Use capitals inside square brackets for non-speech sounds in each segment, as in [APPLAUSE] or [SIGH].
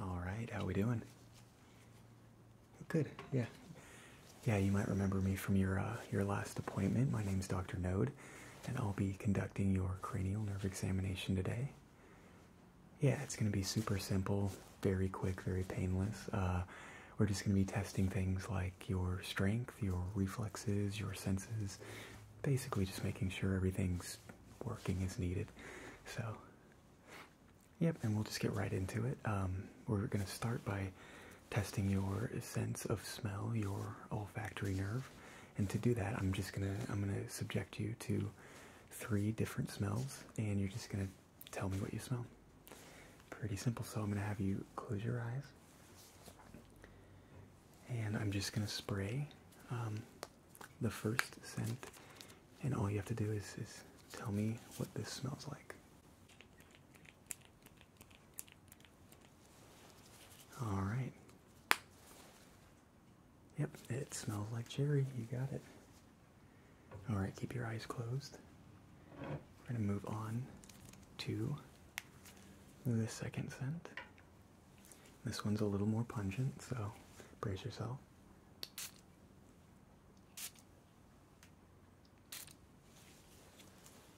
All right, how we doing? Good, yeah. Yeah, you might remember me from your, uh, your last appointment. My name's Dr. Node, and I'll be conducting your cranial nerve examination today. Yeah, it's going to be super simple very quick, very painless. Uh, we're just going to be testing things like your strength, your reflexes, your senses, basically just making sure everything's working as needed. So, yep, and we'll just get right into it. Um, we're going to start by testing your sense of smell, your olfactory nerve. And to do that, I'm just going to I'm going to subject you to three different smells and you're just going to tell me what you smell. Pretty simple. So I'm going to have you close your eyes. And I'm just going to spray um, the first scent. And all you have to do is, is tell me what this smells like. All right. Yep, it smells like cherry. You got it. All right, keep your eyes closed. We're going to move on to the second scent. This one's a little more pungent, so brace yourself.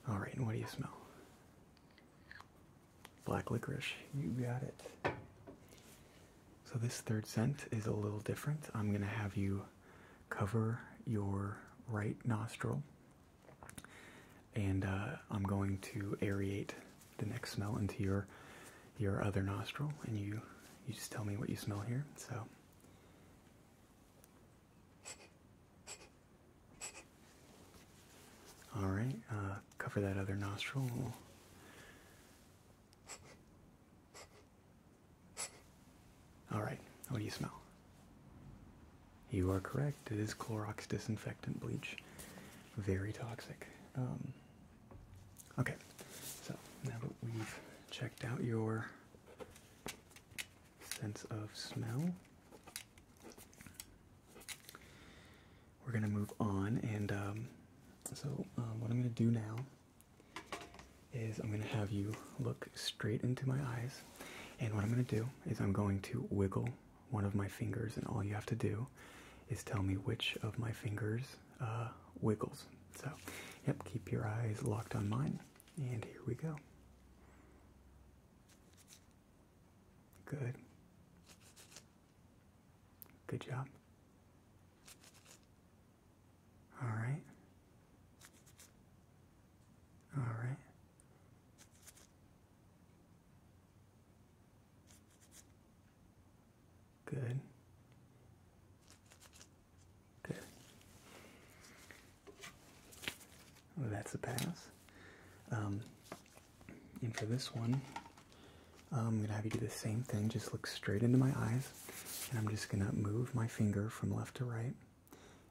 All right, and what do you smell? Black licorice. You got it. So this third scent is a little different. I'm going to have you cover your right nostril and uh, I'm going to aerate the next smell into your your other nostril and you you just tell me what you smell here. So All right, uh, cover that other nostril. All right, what do you smell? You are correct. It is Clorox disinfectant bleach. Very toxic. Um, okay, so now that we've checked out your sense of smell, we're going to move on. And um, so, um, what I'm going to do now is I'm going to have you look straight into my eyes. And what I'm going to do is I'm going to wiggle one of my fingers, and all you have to do is tell me which of my fingers uh, wiggles. So, yep, keep your eyes locked on mine. And here we go. Good. Good job. All right. All right. Good. Good. that's a pass. Um, and for this one, I'm gonna have you do the same thing. Just look straight into my eyes, and I'm just gonna move my finger from left to right.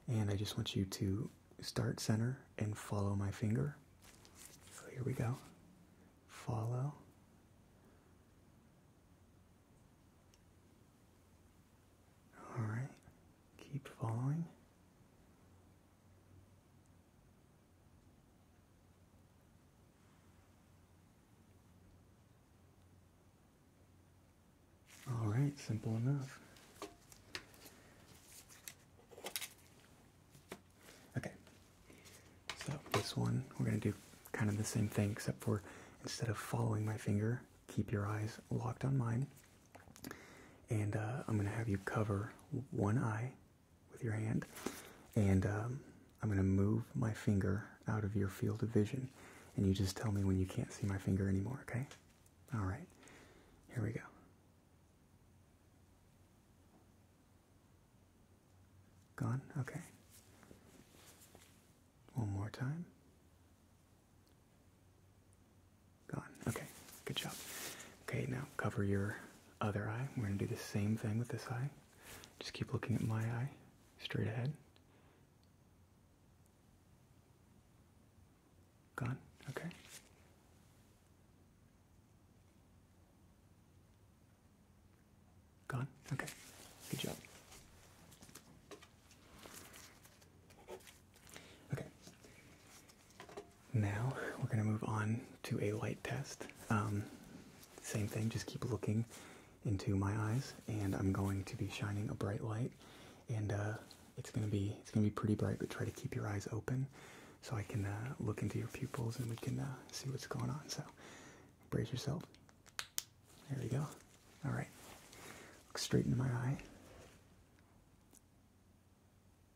And I just want you to start center and follow my finger. So here we go. Follow. All right. Keep following. All right, simple enough. Okay, so this one, we're going to do kind of the same thing, except for instead of following my finger, keep your eyes locked on mine. And uh, I'm going to have you cover one eye with your hand, and um, I'm going to move my finger out of your field of vision, and you just tell me when you can't see my finger anymore, okay? All right, here we go. Gone? Okay. One more time. Gone. Okay, good job. Okay, now cover your other eye. We're going to do the same thing with this eye. Just keep looking at my eye straight ahead. Gone. Okay. Gone. Okay. Good job. Okay. Now we're going to move on to a light test. Um, same thing, just keep looking into my eyes, and I'm going to be shining a bright light, and uh, it's going to be it's going to be pretty bright. But try to keep your eyes open, so I can uh, look into your pupils and we can uh, see what's going on. So brace yourself. There you go. All right, look straight into my eye.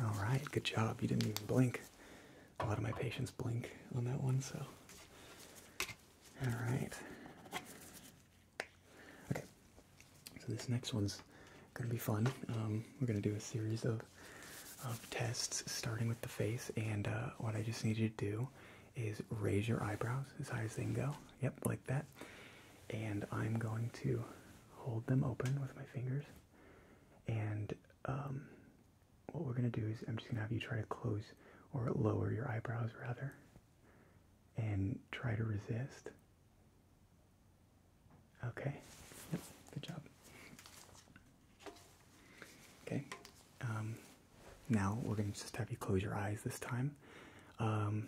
All right, good job. You didn't even blink. A lot of my patients blink on that one, so. All right. Okay, so this next one's going to be fun. Um, we're going to do a series of, of tests starting with the face, and uh, what I just need you to do is raise your eyebrows as high as they can go. Yep, like that. And I'm going to hold them open with my fingers. And um, what we're going to do is I'm just going to have you try to close or lower your eyebrows rather. And try to resist. Okay. Yep, good job. Okay. Um, now we're going to just have you close your eyes this time. Um,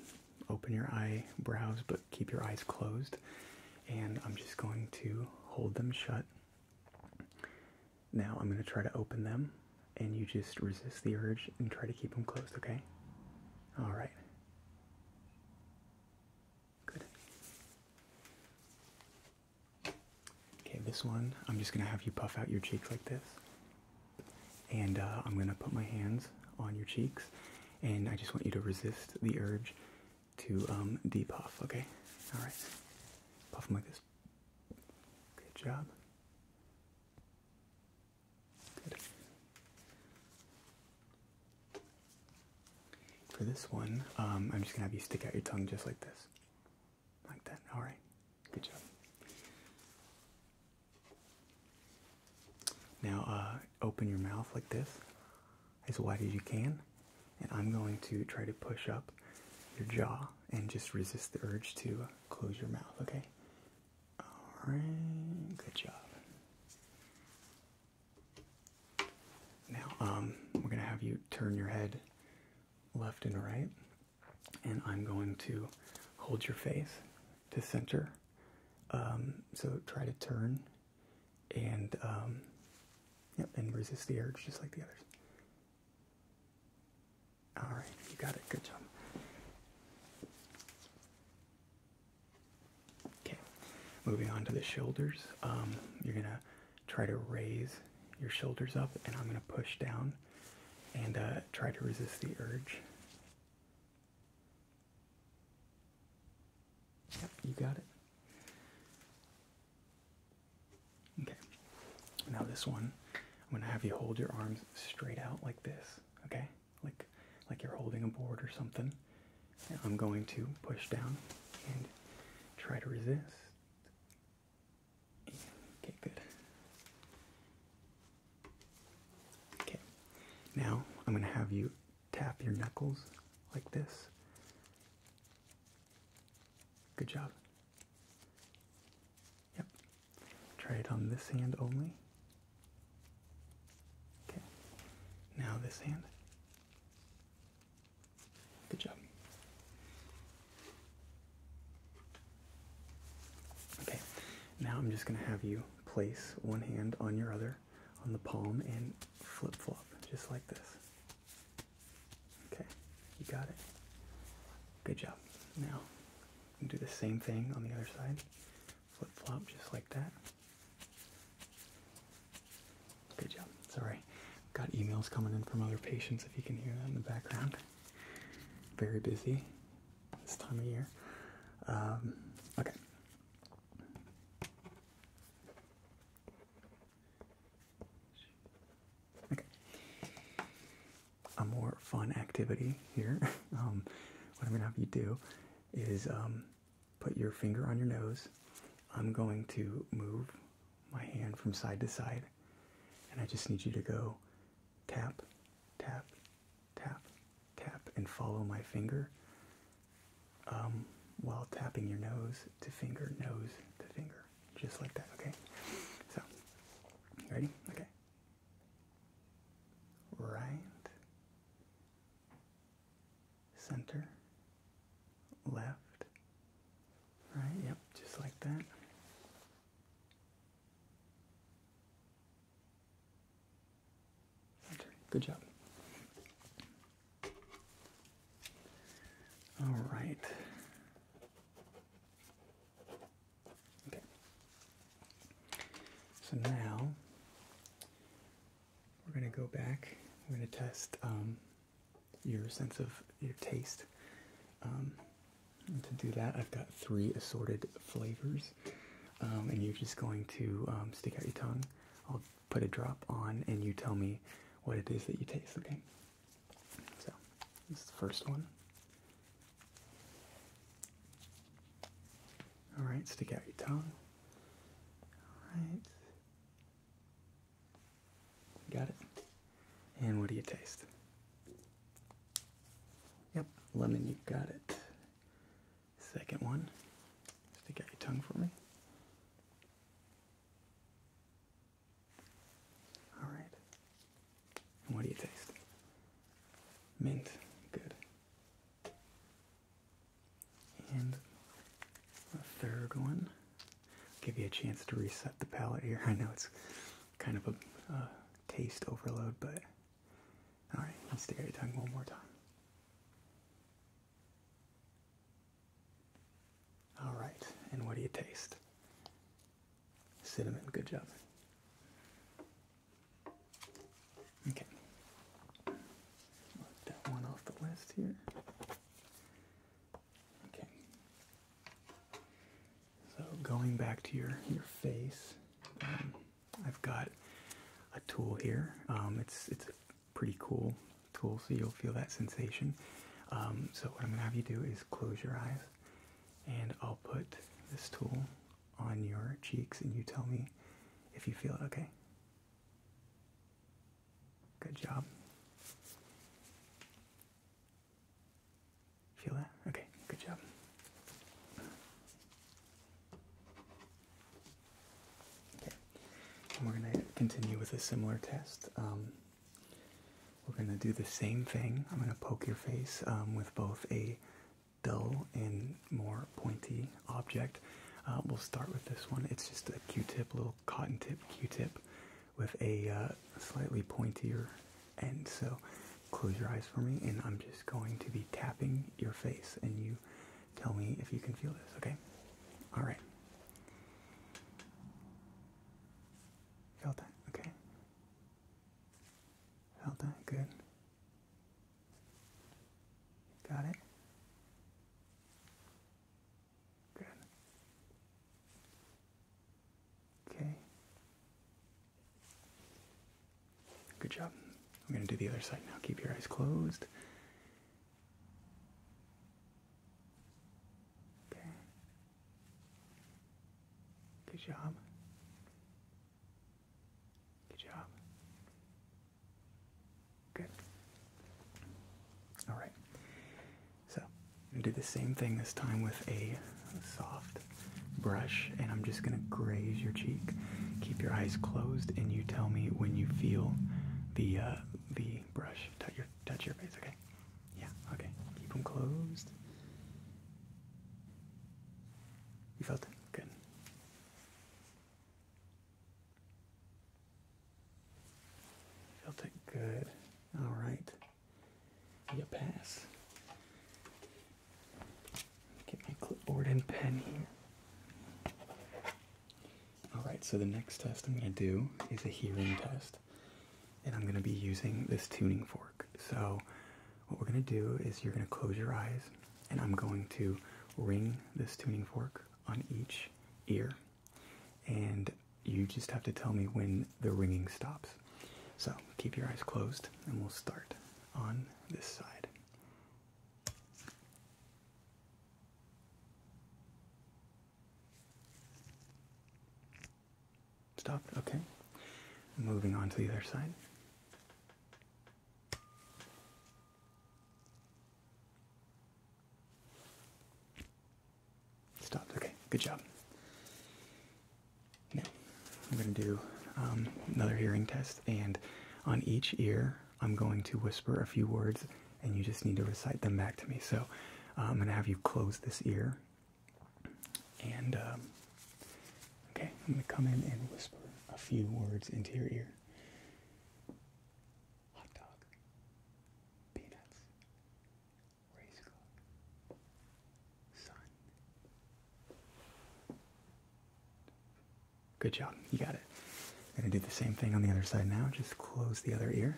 open your eyebrows, but keep your eyes closed. And I'm just going to hold them shut. Now I'm going to try to open them, and you just resist the urge and try to keep them closed, okay? All right. Good. Okay, this one, I'm just going to have you puff out your cheeks like this. And uh, I'm going to put my hands on your cheeks, and I just want you to resist the urge to um, depuff, okay? All right. Puff them like this. Good job. Good. For this one, um, I'm just going to have you stick out your tongue just like this. Like that. All right. Good job. Now, uh, open your mouth like this, as wide as you can, and I'm going to try to push up your jaw and just resist the urge to uh, close your mouth, okay? All right, good job. Now, um, we're gonna have you turn your head left and right, and I'm going to hold your face to center. Um, so try to turn and um, yep, and resist the urge just like the others. All right, you got it. Good job. Okay, moving on to the shoulders. Um, you're gonna try to raise your shoulders up, and I'm gonna push down and uh, try to resist the urge. Yep, you got it. Okay, now this one, I'm gonna have you hold your arms straight out like this, okay? Like, like you're holding a board or something. I'm going to push down and try to resist. Okay, good. Okay, now I'm going to have you tap your knuckles like this. Good job. Yep. Try it on this hand only. Okay. Now this hand. Good job. Okay, now I'm just going to have you place one hand on your other on the palm and flip flop just like this. Okay, you got it. Good job. Now, do the same thing on the other side. Flip flop just like that. Good job. Sorry. Got emails coming in from other patients, if you can hear that in the background. Very busy this time of year. Um, okay. Okay. A more fun activity here. [LAUGHS] Um, what I'm gonna have you do is um, put your finger on your nose. I'm going to move my hand from side to side, and I just need you to go tap, tap, tap, tap, and follow my finger um, while tapping your nose to finger, nose to finger, just like that, okay? So, ready? Okay. Right, center, left, Right, yep, just like that. Good job. All right. Okay. So now we're going to go back. We're going to test um, your sense of your taste. Um, to do that, I've got three assorted flavors, um, and you're just going to um, stick out your tongue. I'll put a drop on, and you tell me what it is that you taste. Okay. So this is the first one. All right, stick out your tongue. All right. Got it? And what do you taste? Yep, lemon, you got it. Second one. Stick out your tongue for me. Alright. And what do you taste? Mint. Good. And the third one. Give you a chance to reset the palette here. [LAUGHS] I know it's kind of a taste overload, but all right, let's stick out your tongue one more time. All right, and what do you taste? Cinnamon. Good job. Okay, that one off the list here. Okay. So going back to your your face, um, I've got a tool here. Um, it's it's a pretty cool tool, so you'll feel that sensation. Um, so what I'm gonna have you do is close your eyes, and I'll put this tool on your cheeks, and you tell me if you feel it. Okay. Good job. Feel that? Okay, good job. Okay, we're going to continue with a similar test. Um, we're going to do the same thing. I'm going to poke your face um, with both a dull and more pointy object. Uh, we'll start with this one. It's just a Q-tip, little cotton tip Q-tip with a uh, slightly pointier end. So close your eyes for me, and I'm just going to be tapping your face, and you tell me if you can feel this. Okay? All right. Felt that? Okay. Felt that? Good. Got it? Good. Okay. Good job. I'm going to do the other side now. Keep your eyes closed. Okay. Good job. Good job. Good. All right. So I did the same thing this time with a soft brush, and I'm just going to graze your cheek. Keep your eyes closed, and you tell me when you feel the uh, the brush touch your touch your face. Okay. Yeah. Okay. Keep them closed. You felt it? Good. Felt it good. All right. You pass. Get my clipboard and pen here. All right, so the next test I'm going to do is a hearing test. And I'm going to be using this tuning fork. So what we're going to do is you're going to close your eyes and I'm going to ring this tuning fork on each ear, and you just have to tell me when the ringing stops. So keep your eyes closed, and we'll start on this side. Stop. okay. Moving on to the other side. Stopped. Okay, good job. I'm going to do um, another hearing test, and on each ear, I'm going to whisper a few words, and you just need to recite them back to me. So, uh, I'm going to have you close this ear, and um, okay, I'm going to come in and whisper a few words into your ear hot dog, peanuts, race sun. Good job, you got it. I'm gonna do the same thing on the other side now. Just close the other ear.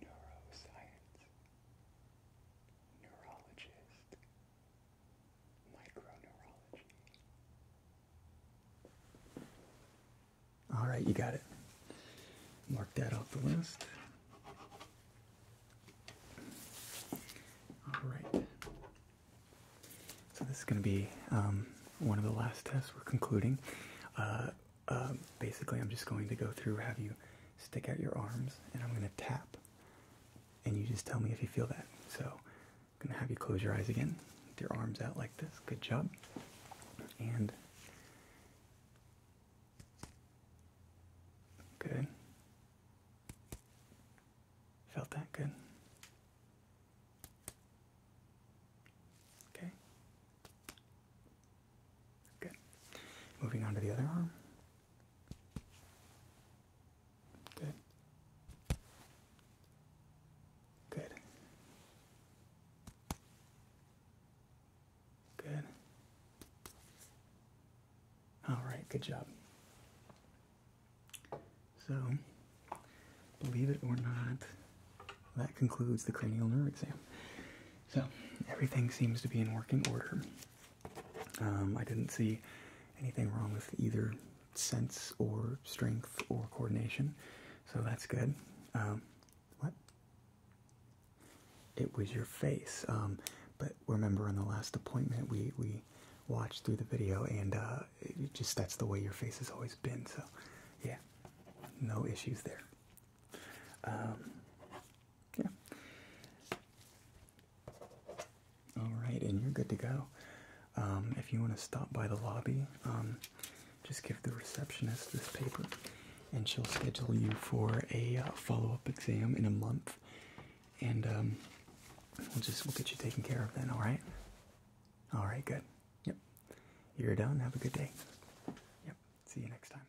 Neuroscience, neurologist, all right, you got it. Mark that off the list. All right. So this is going to be um, one of the last tests we're concluding. Uh, uh, basically, I'm just going to go through, have you stick out your arms, and I'm going to tap and you just tell me if you feel that. So I'm gonna have you close your eyes again with your arms out like this. Good job. And good. Felt that good. Okay. Good. Moving on to the other arm. Good. Good. Good. All right, good job. So, believe it or not, that concludes the cranial nerve exam. So, everything seems to be in working order. Um, I didn't see anything wrong with either sense or strength or coordination, so that's good. Um, what? It was your face. Um, but remember, in the last appointment, we we watched through the video, and uh, it just that's the way your face has always been. So, yeah, no issues there. yeah. All right, and you're good to go. Um, if you want to stop by the lobby, um, just give the receptionist this paper, and she'll schedule you for a uh, follow-up exam in a month. And um, we'll just we'll get you taken care of then. All right. All right. Good. Yep. You're done. Have a good day. Yep. See you next time.